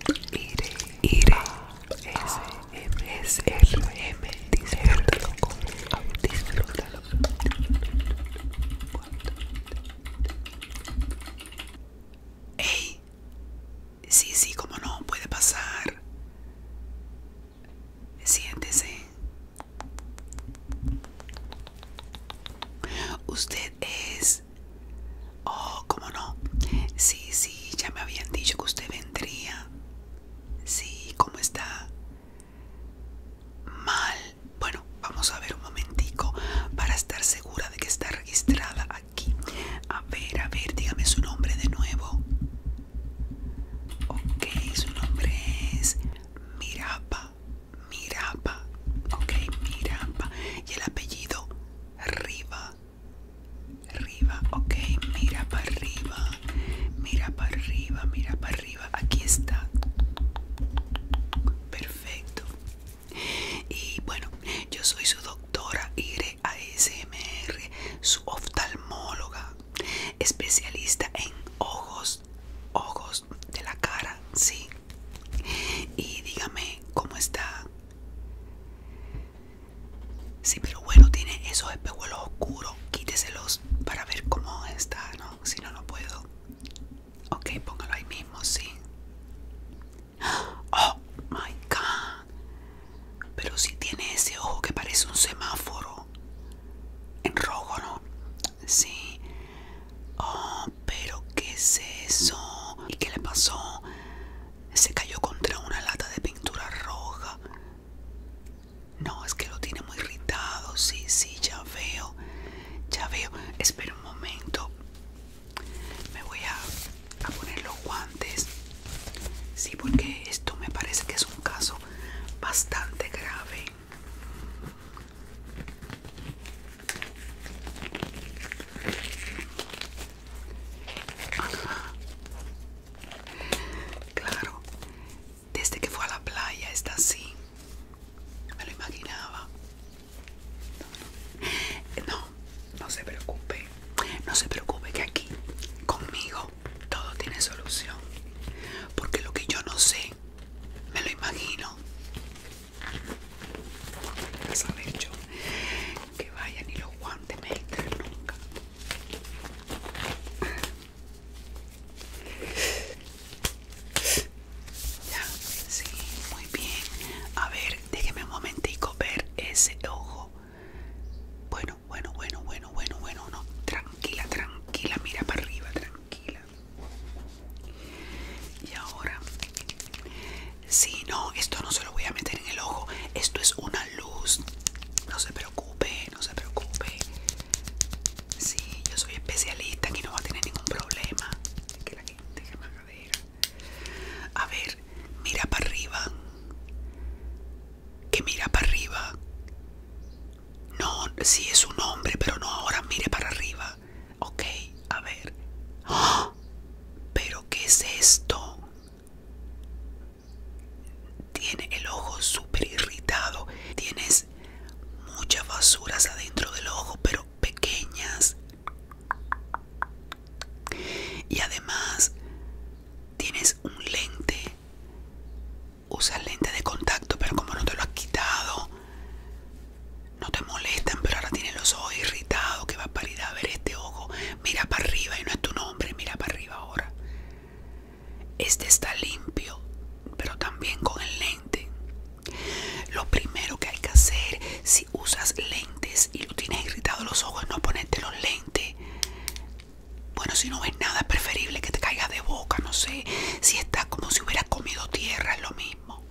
R m, SMSRM, disfrútalo con disfrútalo. ¡Ey! Sí, sí, como no, puede pasar. Siéntese. Usted es Oh, ¿cómo no? Sí, sí, ya me habían dicho que usted vendría. Sí, ¿cómo está? Mal. Bueno, vamos a ver un momentico para estar segura de que está registrada aquí. A ver, a ver, dígame su nombre de nuevo. Ok, su nombre es Mirapa. Mirapa. Ok, Mirapa. Y el apellido Riva arriba, ok, mira para arriba, mira para arriba, mira para arriba, aquí está, perfecto. Y bueno, yo soy su doctora Ire ASMR, su oftalmóloga, especialista en ojos, ojos de la cara, sí. Y dígame cómo está. Sí, pero bueno, tiene esos espejuelos oscuros. Quíteselos para ver cómo está, ¿no? Si no, no puedo. Ok, póngalo ahí mismo, sí. Oh my god. Pero si tiene ese ojo que parece un semáforo. En rojo, ¿no? Sí. Oh, pero ¿qué es eso? ¿Y qué le pasó? Se cayó contra una lata de pintura roja. No, es que lo tiene muy irritado. Sí, sí, ya veo. Ya veo. Espera un momento. Me voy a, poner los guantes. Sí, porque esto me parece que es un caso bastante grave. Claro, desde que fue a la playa está así. Me lo imaginaba. No, no se preocupe. No se preocupe que aquí, conmigo, todo tiene solución. Porque lo que yo no sé, me lo imagino que vaya ni los guantes me extraen nunca. Ya, sí, muy bien. A ver, déjeme un momentico ver ese ojo. Bueno, bueno, bueno, bueno, bueno, bueno, no. Tranquila, tranquila, mira para arriba, tranquila. Y ahora Sí, no, esto no se lo voy a meter en el ojo. Esto es una luz. No se preocupe, no se preocupe. Sí, yo soy especialista, aquí no va a tener ningún problema. A ver, mira para arriba. Que mira para arriba. No, sí es un hombre, pero no ahora mire para arriba. Ok, a ver. ¡Ah! ¿Pero qué es esto? Tiene el ojo súper irritado. Tienes muchas basuras adentro del ojo, pero pequeñas. Y además tienes un lente. Usas lente de contacto, pero como no te lo has quitado, no te molestan, pero ahora tienes los ojos irritados. Que va a parir a ver este ojo Mira para arriba y no es tu nombre, mira para arriba ahora. Este está limpio, pero también con el lente. Lo primero que hay que hacer si usas lentes y lo tienes irritado los ojos, no ponerte los lentes. Bueno, si no ves nada, es preferible que te caigas de boca, no sé. Si está como si hubieras comido tierra, es lo mismo.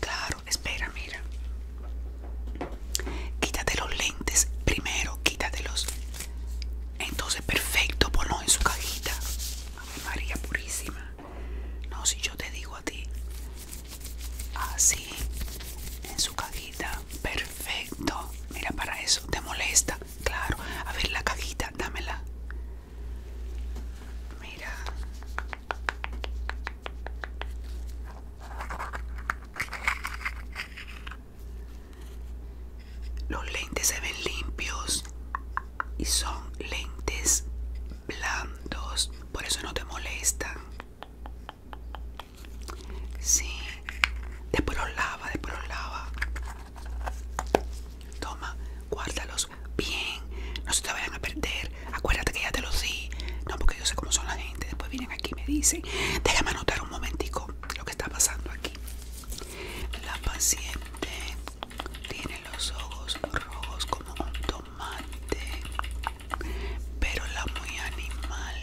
Claro Espera, mira. Quítate los lentes primero, quítatelos. Entonces, perfecto, ponlo en su cajita. María Purísima. No, si yo te digo a ti. Así, en su cajita. Perfecto. Mira, para eso, ¿te molesta? Claro. A ver, la cajita, dámela. Mira. Los lentes se ven limpios y son lentes blandos, por eso no te molestan. Sí, después los lava, después los lava. Toma, guárdalos bien, no se te vayan a perder. Acuérdate que ya te los di. No, porque yo sé cómo son las después vienen aquí y me dicen, déjame anotar un momentico lo que está pasando aquí. La paciente tiene los ojos rojos como un tomate, pero la muy animal,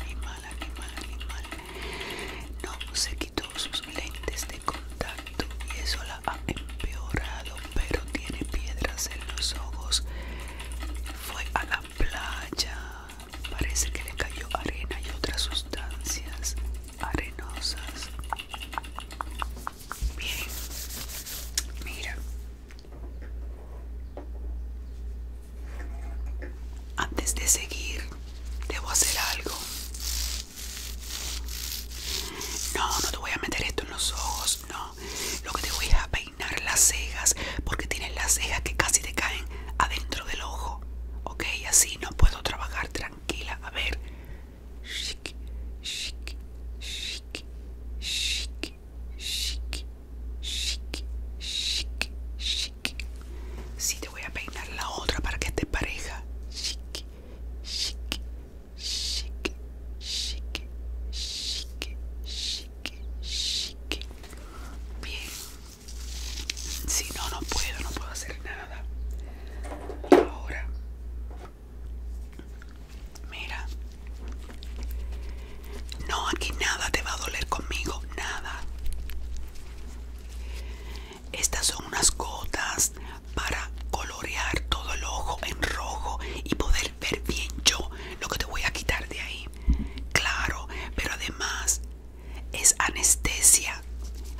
animal, animal, animal, no se quitó sus lentes de contacto y eso la ha empeorado, pero tiene piedras en los ojos. Fue a la playa. Parece que le cayó arena y otras sustancias arenosas. Bien, mira. Antes de seguir, debo hacer algo. No, no te voy a meter esto en los ojos. No, lo que te voy a peinar las cejas porque tienes las cejas que casi te caen adentro del ojo. Ok, así no puedo trabajar tranquila. A ver. Si Sí, te voy a peinar la otra para que esté pareja. Bien. Si no, no puedo, no puedo hacer nada. Ahora. Mira. No, aquí nada te va a doler conmigo, nada. Estas son unas gotas para colorear todo el ojo en rojo y poder ver bien yo lo que te voy a quitar de ahí. Claro, pero además es anestesia.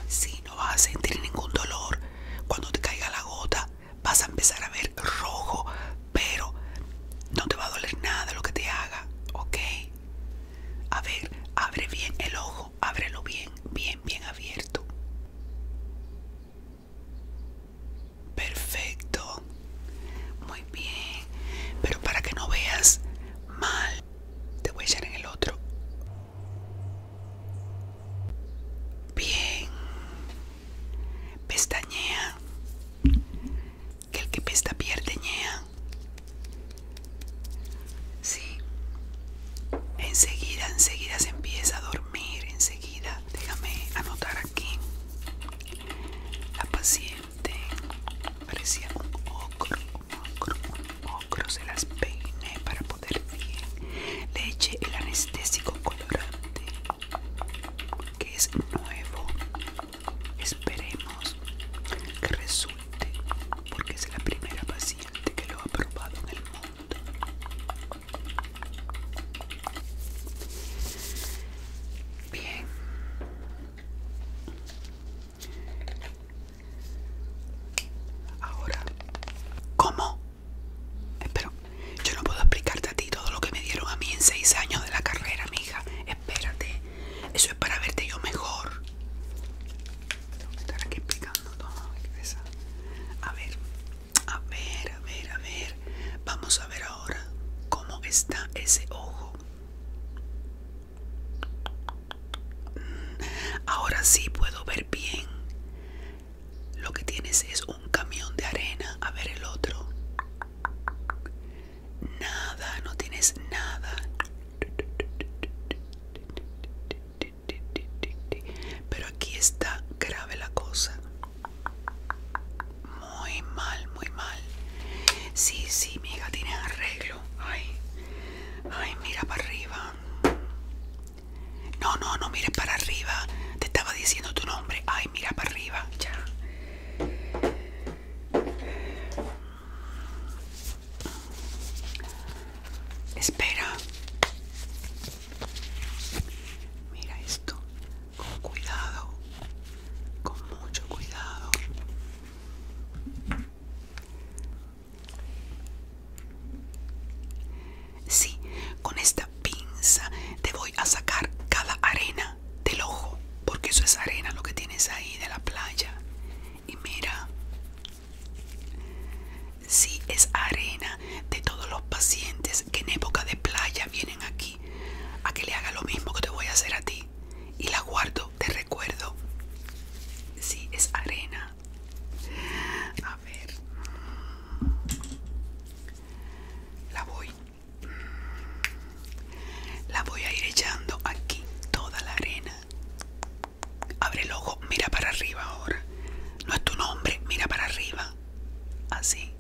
Si no vas a sentir ningún dolor, cuando te caiga la gota vas a empezar a ver rojo, pero no te va a doler nada lo que te haga, ¿ok? A ver, abre bien el ojo, ábrelo bien, bien, bien abierto. Perfecto. Muy bien. Pero para que no veas mal, te voy a echar en el otro. Bien. Pestañea. Que el que pesta pierde ñea. Sí. Enseguida, enseguida se empieza a dormir. Enseguida, déjame anotar aquí. La paciencia parecía un ocro, un ocro, un ocro. Se las peiné para poder bien. Le eché el anestésico colorante, que es nuevo. Esperemos que resulte, porque es la primera paciente que lo ha probado en el mundo. Bien. Ahora, ¿cómo? Espero, yo no puedo explicarte a ti todo lo que me dieron a mí en seis años de la carrera, mija. Espérate, eso es para verte yo mejor. Tengo que estar aquí explicando todo. A ver, a ver, a ver, a ver. Vamos a ver ahora cómo está ese ojo. Mm, ahora sí puedo ver bien. Lo que tienes es un camión de arena. A ver el otro. Nada, no tienes nada. Pero aquí está grave la cosa. Muy mal, muy mal. Sí, sí, mi hija tiene arreglo. Ay, ay, mira para arriba. No, no, no mires para arriba. Te estaba diciendo tu nombre. Ay, mira para arriba. Ya. Espera. Mira esto con cuidado, con mucho cuidado. Sí, con esta pinza te voy a sacar cada arena del ojo, porque eso es arena lo que tienes ahí de la playa. Y mira, sí, es arena de todos los pacientes que en época de playa vienen aquí a que le haga lo mismo que te voy a hacer a ti y la guardo te recuerdo. Sí, es arena. A ver. La voy. La voy a ir echando aquí toda la arena. Abre el ojo, mira para arriba ahora. No es tu nombre, mira para arriba. Así.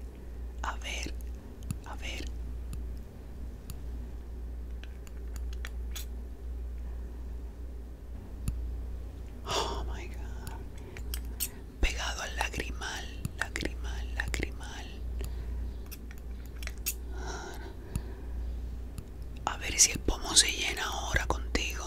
A ver, a ver. Oh my god. Pegado al lagrimal, lagrimal, lagrimal. A ver si el pomo se llena ahora contigo.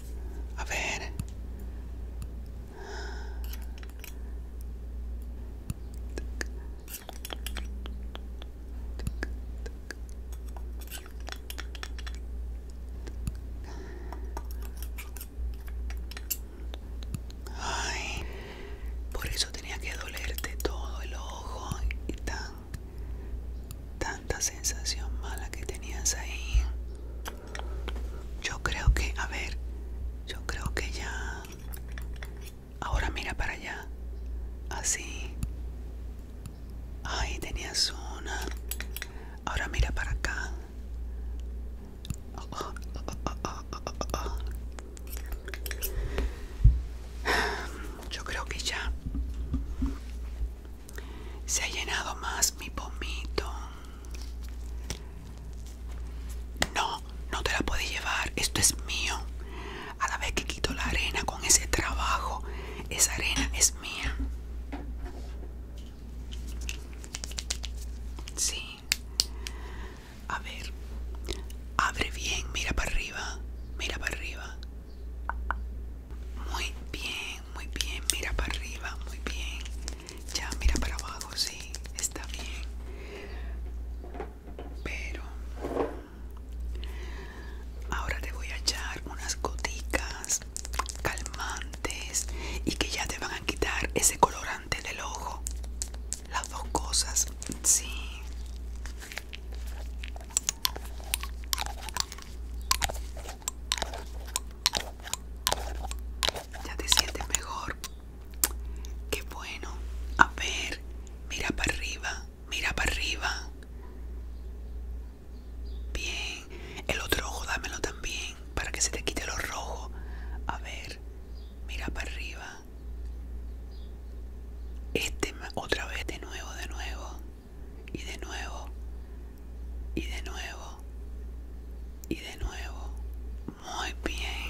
A ver. Ay, por eso tenía que dolerte todo el ojo y tan tanta sensación mala que tenías ahí. Yo creo que, a ver, yo creo que ya... Ahora mira para allá. Así. Ahí tenías una. Ahora mira para acá. Yo creo que ya se ha llenado más mi pomito. No, no te la puedes llevar, esto es mío. A la vez que quito la arena con ese trabajo, esa arena es mía. Sí. A ver. Abre bien, mira para arriba, mira para arriba. Muy bien, muy bien, mira para arriba, muy bien. Ya, mira para abajo, sí, está bien. Pero ahora te voy a echar unas goticas calmantes y que ya te van a quitar ese colorante del ojo. Las dos cosas, sí. Ya te sientes mejor. Qué bueno. A ver, mira para arriba, mira para arriba. Bien. El otro ojo dámelo también para que se te quite lo rojo. A ver, mira para arriba. Este otra vez de nuevo, de nuevo. Y de nuevo y de nuevo y de nuevo muy bien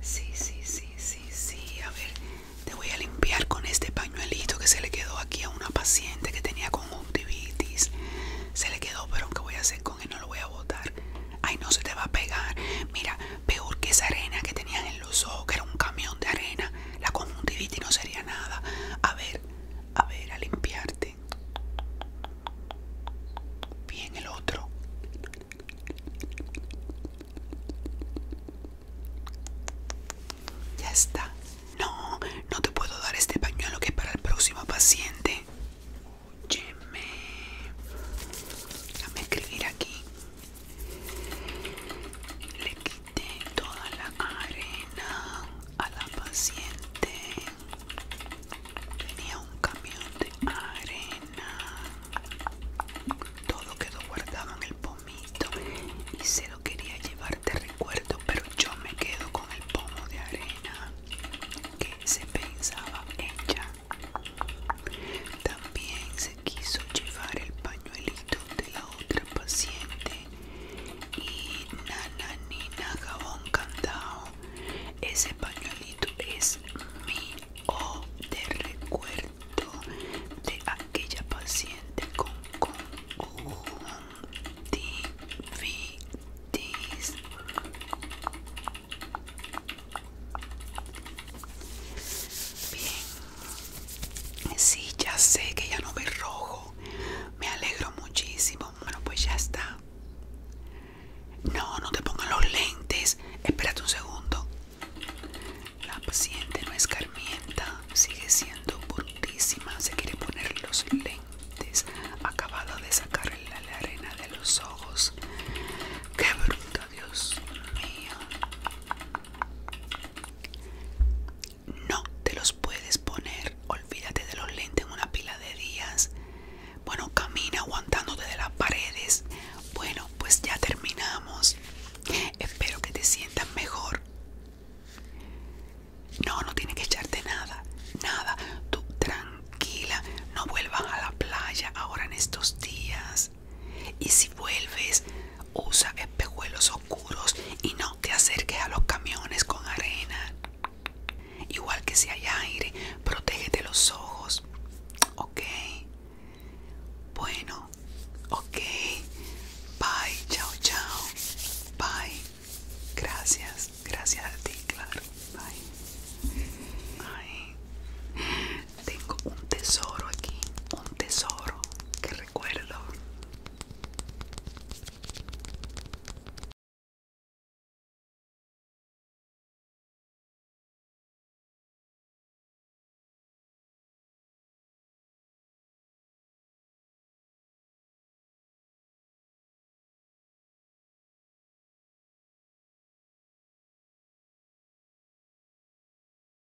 sí sí sí sí sí a ver te voy a limpiar con este pañuelito que se le quedó aquí a una paciente que tenía conjuntivitis se le quedó pero aunque voy a hacer con él no lo voy a botar ay no se te va a pegar mira peor que esa arena que tenías en que era un camión de arena, la conjuntivitis no sería nada. A ver, a ver, a limpiarte. Bien, el otro. Ya está. No, no te puedo dar este pañuelo que es para el próximo paciente. Óyeme. Dame escribir aquí. Le quité toda la arena a la paciente. Tenía un camión de arena. Todo quedó guardado en el pomito y se lo quería llevar de recuerdo, pero yo me quedo con el pomo de arena que se pensaba ella. También se quiso llevar el pañuelito de la otra paciente y nana nina ese pañuelito es mi o de recuerdo de aquella paciente con Bien, Sí, ya sé que ya no ve rojo. Me alegro muchísimo. Bueno, pues ya está. No, no te pongan los lentes. Espérate un segundo. La paciente no escarmienta. Sigue siendo brutísima. Se quiere poner los lentes. Acabado de sacar la arena de los ojos. Qué bruto, Dios mío. No te los puedes poner. Olvídate de los lentes en una pila de días. Bueno, camina aguantándote de las paredes. Bueno, pues ya terminamos. Espero que te sientas mejor. No, no tienes que echarte nada. Nada. Tú tranquila. No vuelvas a la playa ahora en estos días. Y si vuelves, usa espejuelos oscuros y no te acerques a los camiones con arena. Igual que si hay aire, protégete los ojos. Ok. Bueno, ok. Bye, chao, chao. Bye. Gracias, gracias a ti, claro. Bye. Bye. Tengo un tesoro aquí, un tesoro que recuerdo.